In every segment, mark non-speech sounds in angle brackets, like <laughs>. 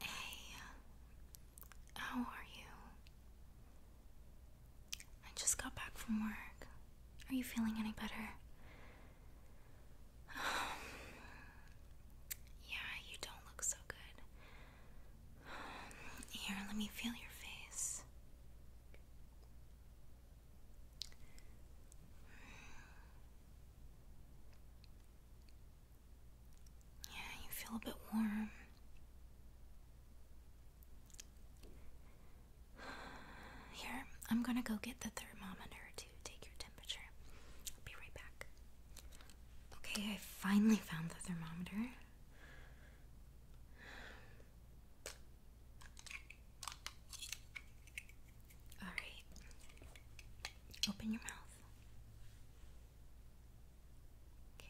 Hey, how are you? I just got back from work. Are you feeling any better? <sighs> yeah, you don't look so good. <sighs> here, let me feel your face. Yeah, you feel a bit warm. Here, I'm gonna go get the thermometer to take your temperature. I'll be right back. Okay, I finally found the thermometer. Alright. Open your mouth. Okay.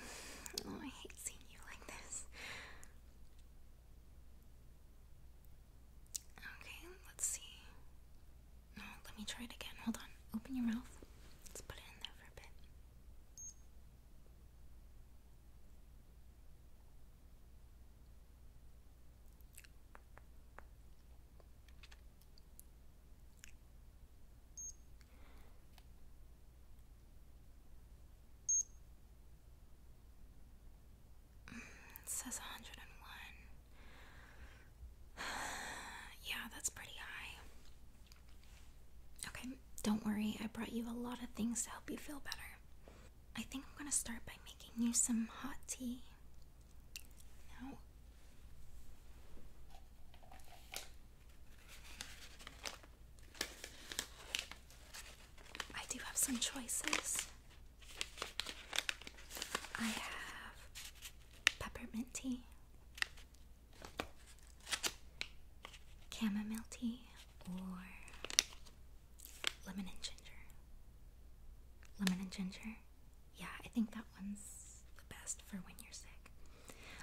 <laughs> oh, I hate seeing you like this. Okay, let's see. No, let me try it again. Hold on. Open your mouth. Let's put it in there for a bit. It says 101. <sighs> yeah, that's pretty high. Okay, don't worry, I brought you a lot of things to help you feel better. I think I'm gonna start by making you some hot tea. Now, I do have some choices. I have peppermint tea, chamomile tea or lemon and ginger. Lemon and ginger? Yeah, I think that one's the best for when you're sick.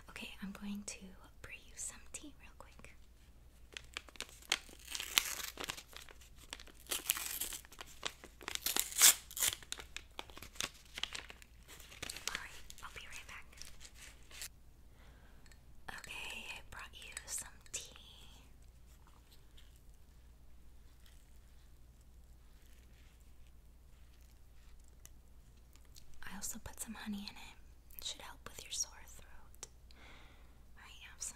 Okay, I'm going to brew you some tea real quick. Alright, I'll be right back. Okay, I brought you some tea. I also put some honey in it. It should help with your sore throat. I have some.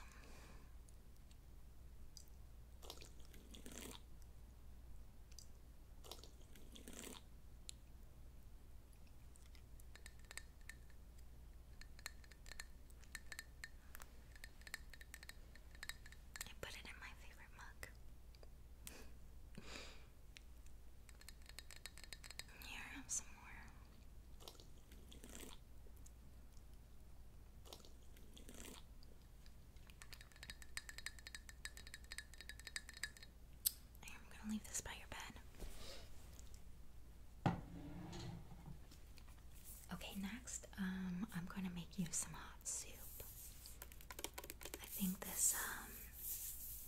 I put it in my favorite mug. <laughs> Here, I have some more. I'm gonna leave this by your bed. Okay, next, um, I'm gonna make you some hot soup. I think this um,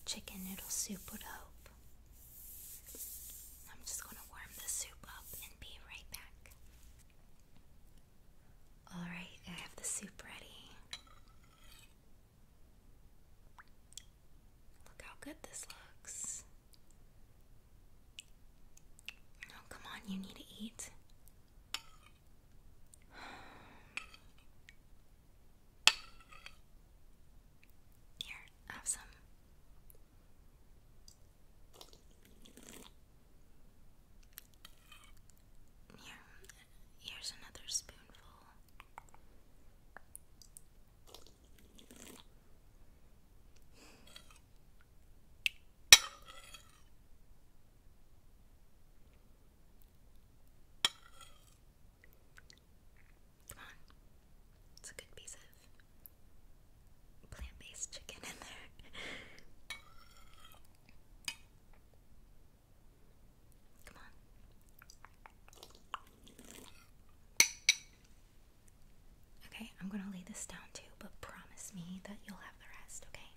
chicken noodle soup would help. I'm just gonna warm the soup up and be right back. Alright, I have the soup ready. Look how good this looks. come on, you need to eat. Here, have some. Here, here's another spoonful. Come on. It's a good piece of plant based chicken in there. Come on. Okay, I'm gonna lay this down too, but promise me that you'll have the rest, okay?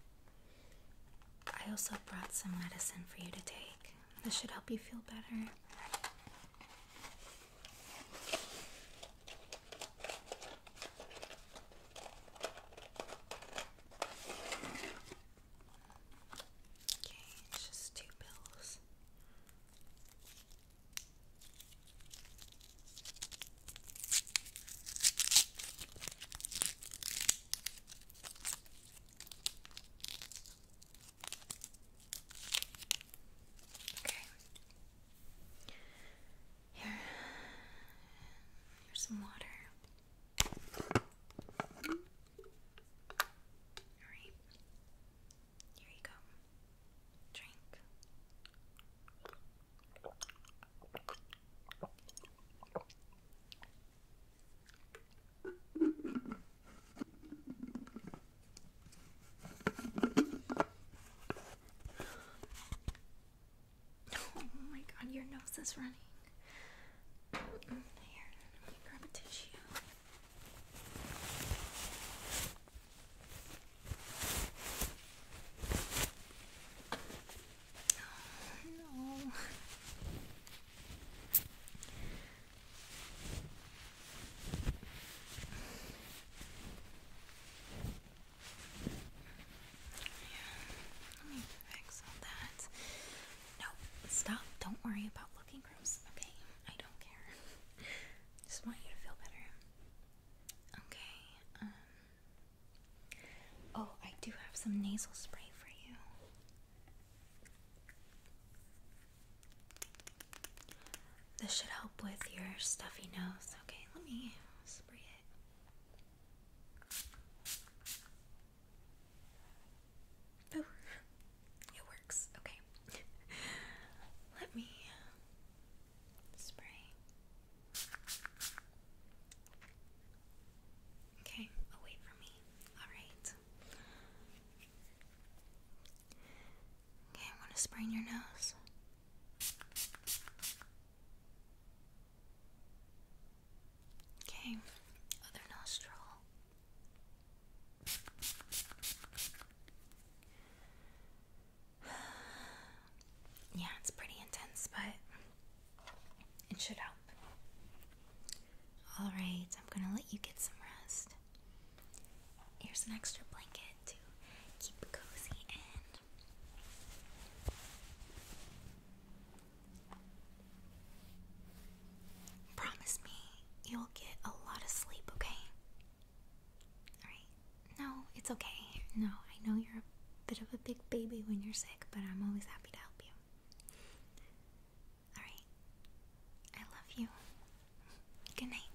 I also brought some medicine for you to take. This should help you feel better. Okay, it's just two pills. Okay. Here. Here's some water. Alright. Here you go. Drink. Oh my god, your nose is running. Mm, here, let me grab a tissue. Oh, no let me fix all that. No, stop. Don't worry about looking gross, okay? I don't care. Just want you to feel better. Okay, um, Oh, I do have some nasal spray for you. This should help with your stuffy nose. Okay, let me spray it. Oh, it works. Okay. Let me uh, spray. Okay, away oh, from me. Alright. Okay, I'm to spray your nose. Okay, other nostril. <sighs> yeah, it's pretty intense, but it should help. Alright, I'm gonna let you get some rest. Here's an extra blanket to keep cozy and promise me you'll get a lot of sleep, okay? Alright. No, it's okay. No, I know you're a bit of a big baby when you're sick, but I'm always happy to help you. Alright. I love you. Good night.